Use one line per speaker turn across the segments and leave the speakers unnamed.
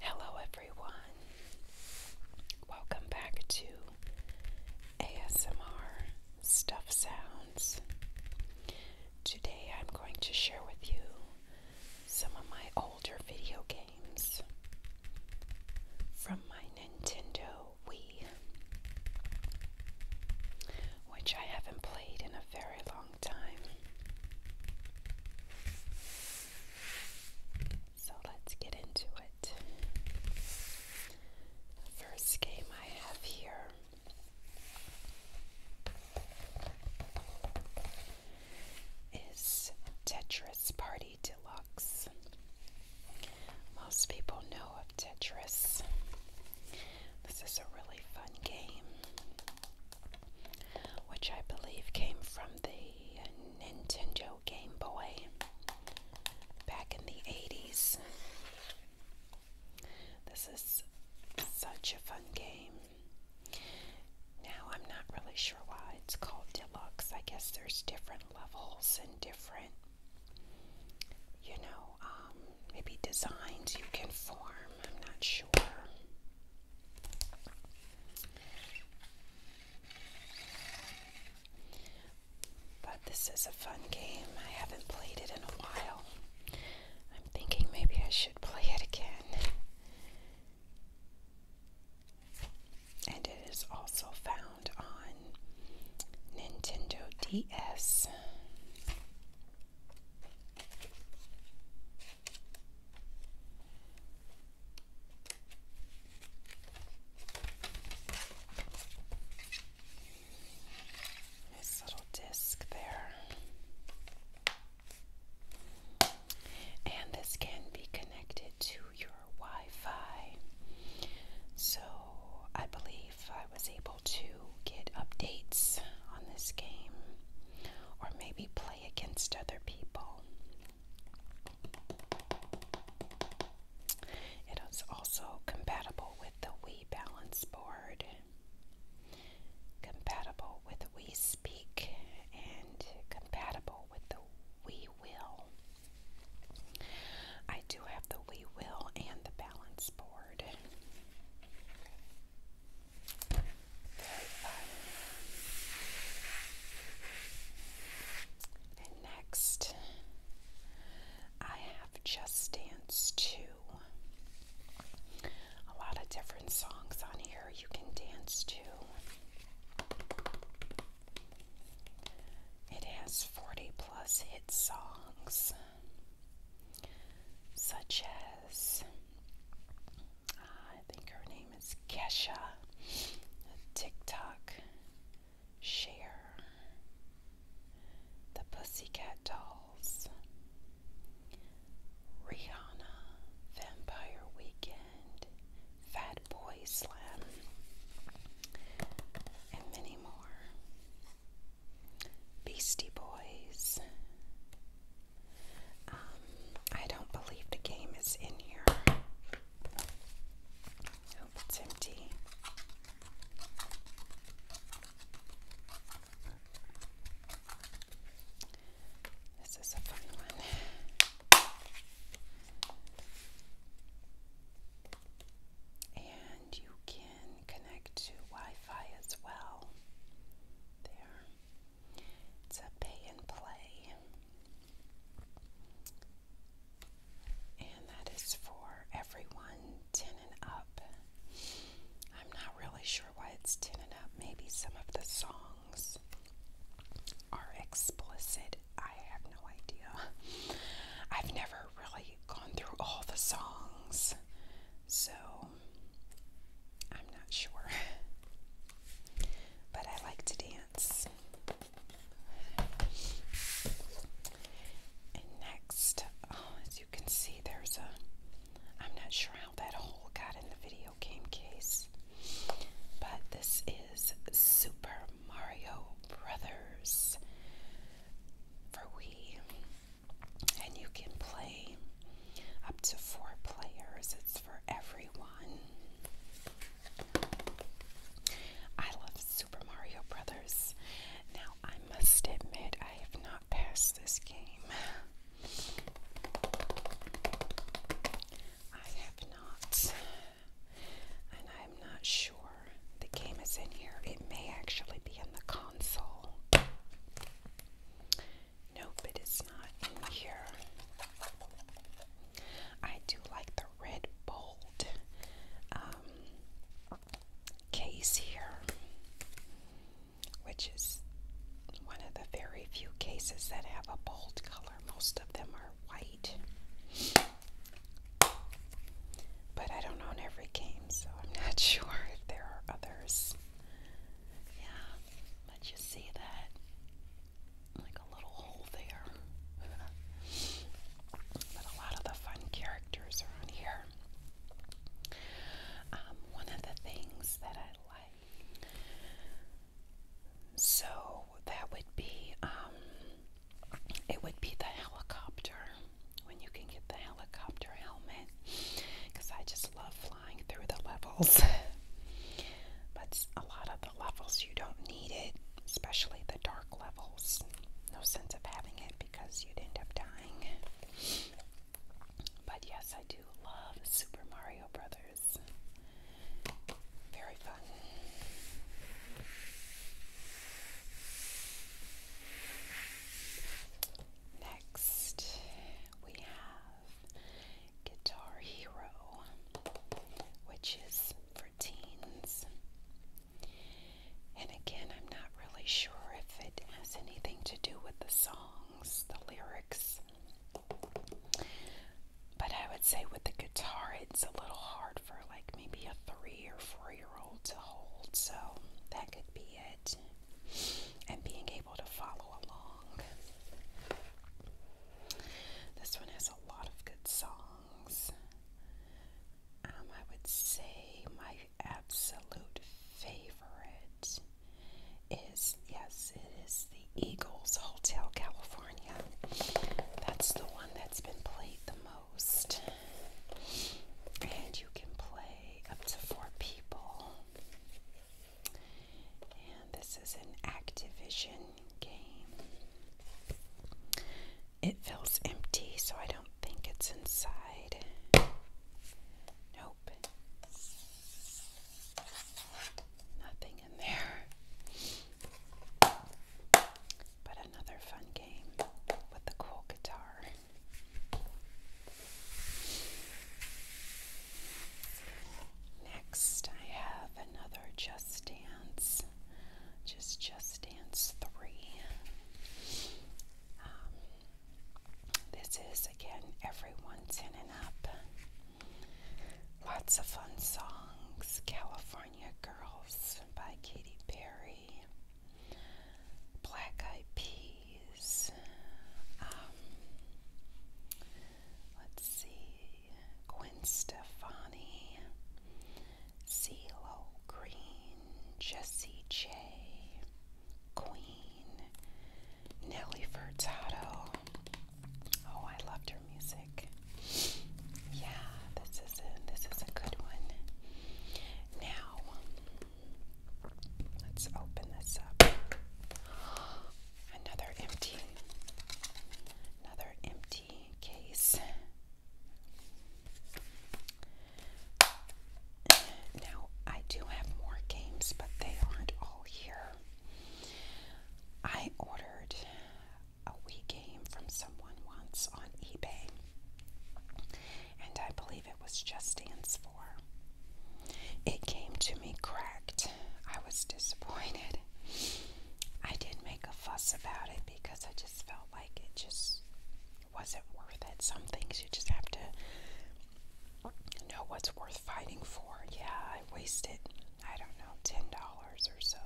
Hello, everyone. Welcome back to ASMR Stuff Sounds. Today, I'm going to share with you some of my older video games from my Nintendo Wii, which I haven't played in a very long time. So let's get into it. The first game I have here is Tetris Party Deluxe. Most people know of oh, Tetris. This is a really fun game, which I believe came from the Nintendo Game Boy back in the 80s. This is such a fun game. Now, I'm not really sure why it's called Deluxe. I guess there's different levels and different you know, um, maybe designs you can form. I'm not sure. But this is a fun game. I haven't played it in a while. I'm thinking maybe I should play it again. And it is also found on Nintendo DS. This little disc there. And this can be connected to your Wi Fi. So I believe if I was able to get updates on this game or maybe play against other people. It is also compatible with the We Balance Board, compatible with We Speak, and compatible with the We Will. I do have the Wii Will and the Balance Board next, I have Just Dance 2. A lot of different songs on here you can dance to. It has 40 plus hit songs such as I think her name is Kesha, TikTok share, the Pussycat Dolls, Rihanna, Vampire Weekend, Fat Boy Slim, and many more. Beastie Boys. Um, I don't believe the game is in here. Nope, it's empty. This is a fun one. And you can connect to Wi-Fi as well. There. It's a pay and play. And that is for everyone 10 and up. I'm not really sure why it's 10 and up. Maybe some of the songs are explicit. I have no idea. I've never really gone through all the songs, so I'm not sure. But I like to dance. And next, oh, as you can see, there's a. I'm not sure how that hole got in the video game case, but this is Super Mario Brothers for Wii, and you can play up to four players. It's for everyone. I love Super Mario Brothers. Now I must admit I have not passed this game. I have not, and I'm not sure the game is in here. It may actually be in the console. Nope, it is not in here. I do like the red bold um, case here, which is one of the very few cases that have a bold color. Most of them are white. But I don't own every game, so I'm not sure if there are others. Yeah, but you see that? Like a little hole there. but a lot of the fun characters are on here. Um, one of the things that I like. So that would be um, it would be the helicopter when you can get the helicopter helmet because I just love flying through the levels. but a lot of the levels you don't need it, especially the dark levels. No sense of having it because you'd end up dying. But yes, I do love Super Mario Brothers. Very fun. Next, we have Guitar Hero, which is for teens. And again, I'm not really sure if it has anything to do with the songs, the lyrics. But I would say with the guitar, it's a little hard for like maybe a three three or four year old to hold. So that could be it. And being able to follow along. This one has a lot of good songs. Um, I would say my absolute favorite is yes, it is the Eagles Hotel California. That's the one that's been played the most. And you can play up to four people. And this is an Activision game. It feels empty, so I don't think it's inside. Nope. Nothing in there another fun game with the cool guitar. Next, I have another Just Dance, just Just Dance 3. Um, this is again everyone's in up. Lots of fun songs. California Girls by Katy Perry black eyed peas. Um, let's see, Gwen Stefani, CeeLo Green, Jessie J, Queen, Nelly Furtado. Oh, I loved her music. Yeah, this is a this is a good one. Now let's open this up. Another empty, another empty case. Now I do have more games, but they aren't all here. I ordered a Wii game from someone once on eBay, and I believe it was Just Dance 4. It came to me cracked. I was disappointed. I didn't make a fuss about it because I just felt like it just wasn't worth it. Some things you just have to know what's worth fighting for. Yeah, I wasted, I don't know, $10 or so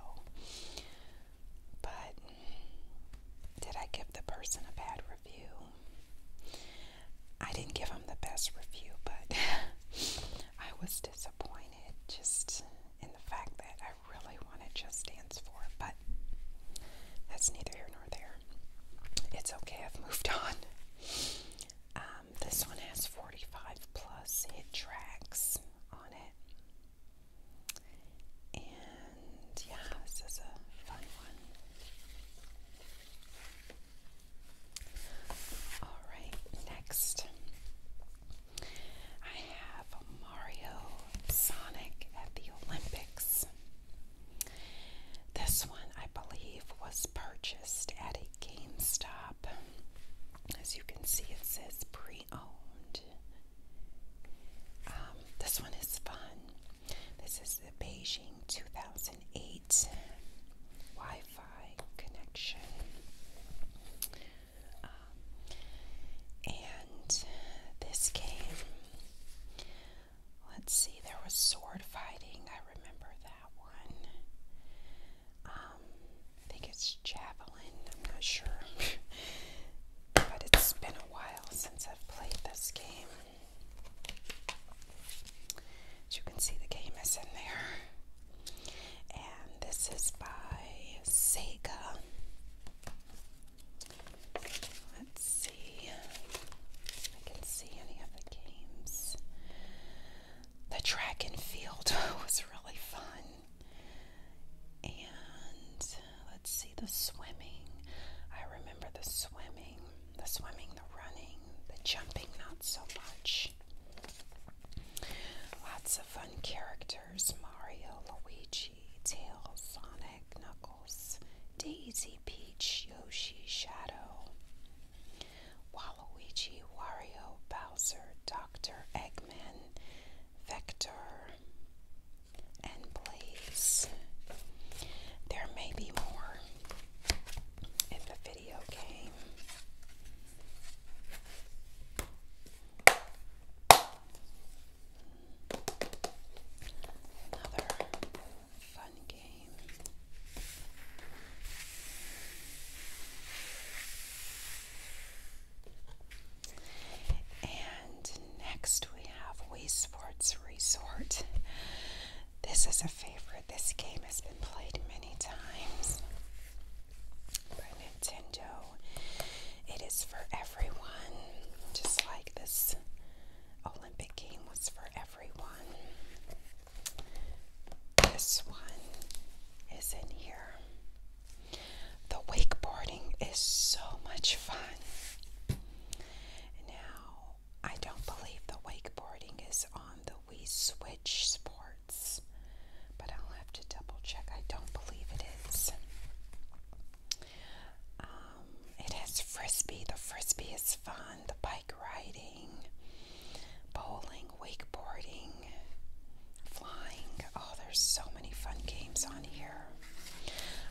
but did I give the person a bad review? I didn't give him the best review, but I was disappointed just in the fact that I really wanted Just Dance 4, but that's neither here nor there. It's okay, I've moved on. Um, this one has 45 plus hit tracks on it. And yeah, this is a fun one. All right, next I have Mario Sonic at the Olympics. This one, I believe, was purchased at a GameStop. As you can see, it says pre owned. Um, this one is fun. This is the Beijing 2008 Wi Fi connection. Um, and this game, let's see, there was sword fighting. I remember that one. Um, I think it's Javelin. Colin. I'm not sure. but it's been a while since I've played this game. As you can see, the game is in there. And this is by Sega. Let's see if I can see any of the games. The track and field was really fun. And let's see the swimming. I remember the swimming, the swimming, the running, the jumping, not so much. Lots of fun characters Mario, Luigi, Tails, Sonic, Knuckles, Daisy, Peach, Yoshi, Shadow, Waluigi, Wario, Bowser, Dr. Eggman, Vector, and place. There may be more in the video game. Another fun game. And next we have Wii Sports Resort. This is a favorite. This game has been played many times by Nintendo. It is for everyone, just like this Olympic game was for everyone. This one is in here. The wakeboarding is so much fun. Now, I don't believe the wakeboarding is on the Wii Switch Sports, but I'll have to double check. I don't believe it is. Um, it has frisbee. The frisbee is fun. The bike riding, bowling, wakeboarding, flying. Oh, there's so many fun games on here.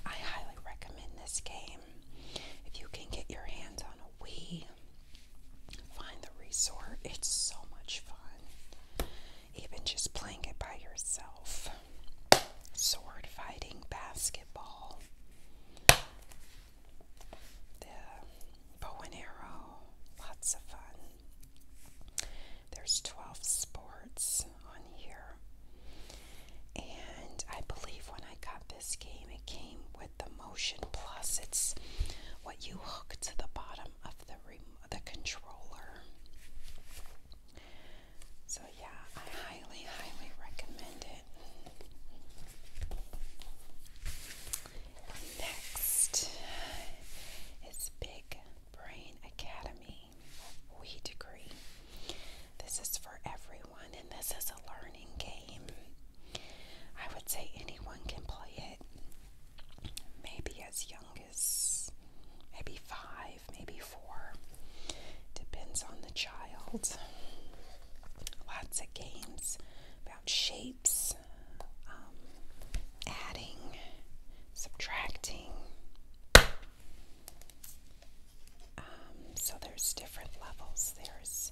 I highly recommend this game. If you can get your hands on a Wii, find the resort. It's so much fun. Even just playing it by yourself. Sword fighting, basketball, the bow and arrow, lots of fun. There's 12 sports on here. And I believe when I got this game, it came with the Motion Plus. It's what you hook to the bottom of the the controller. So yeah, I highly, highly recommend it. Next is Big Brain Academy. We degree. This is for everyone, and this is a learning game. I would say anyone can play it. Maybe as young as maybe five, maybe four. Depends on the child. Lots of games about shapes. Um, adding, subtracting. Um, so there's different levels. There's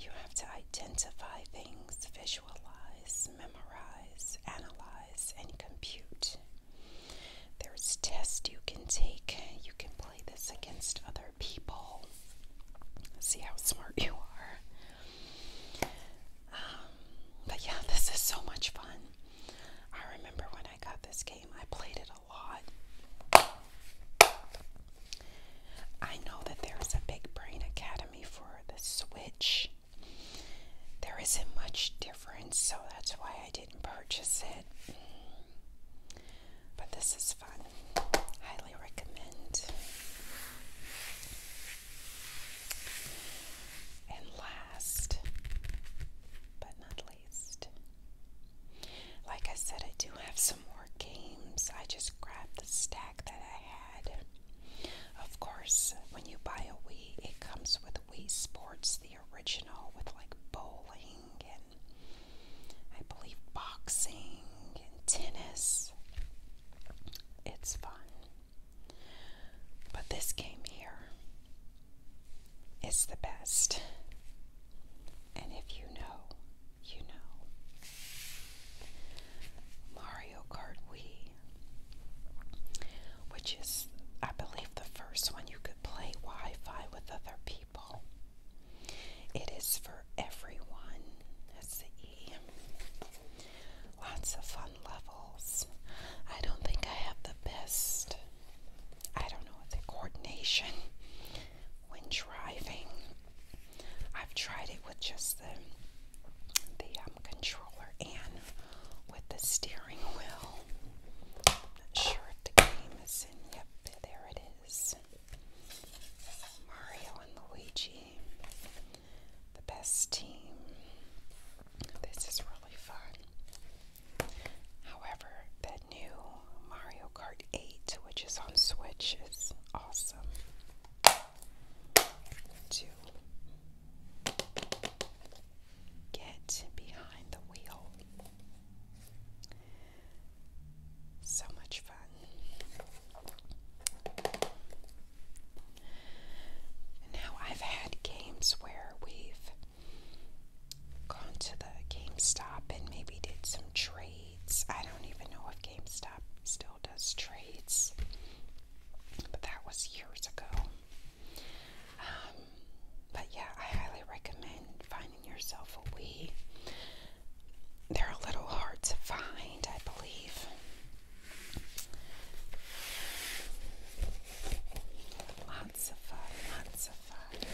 you have to identify things, visualize, memorize, analyze, and compute. There's tests you can take. You can play this against other people. See how smart you are. Um, but yeah, this is so much fun. I remember when I got this game, I played it a lot. I know that there's a Big Brain Academy for the Switch. There isn't much difference, so that's why I didn't purchase it. But this is fun. Highly recommend. And last but not least, like I said, I do have some more games. I just grabbed the stack that I had. Of course, when you buy a Wii, it comes with Wii Sports, the original, with like bowling and I believe boxing and tennis. It's fun. But this game here is the best. And if you know, you know. Mario Kart Wii, which is, I believe, the first one you could play Wi Fi with other people. It is for everyone. That's the E. Lots of fun levels. I don't think I have the best, I don't know, the coordination when driving. I've tried it with just the the um, controller and with the steering wheel. Not sure if the game is in. Yep, there it is. Mario and Luigi, the best team. This is really fun. However, that new Mario Kart 8, which is on Switch, is awesome to get behind the wheel. So much fun. Now, I've had games where we've gone to the GameStop and maybe did some trades. I don't even know if GameStop still does trades, but that was years ago. Um, but yeah, I highly recommend finding yourself a Wii. They're a little hard to find, I believe. Lots of fun, lots of fun.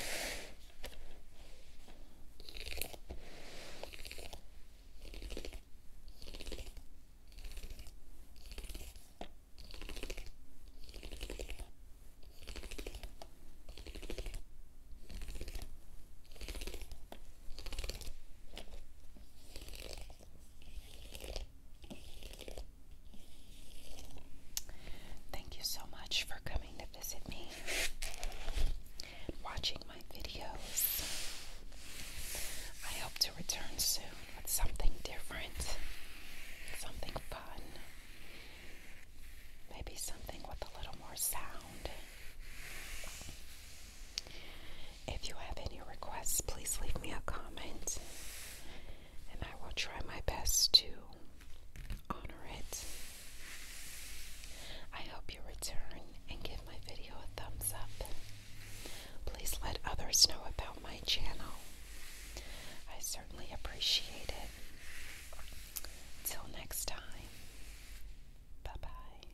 Thank you so much for coming to visit me watching my videos. I hope to return soon with something different, something fun, maybe something with a little more sound. If you have any requests, please leave me a comment and I will try my best to honor it. I hope you return and give my video a thumbs up. Please let others know about my channel. I certainly appreciate it. Till next time, bye bye.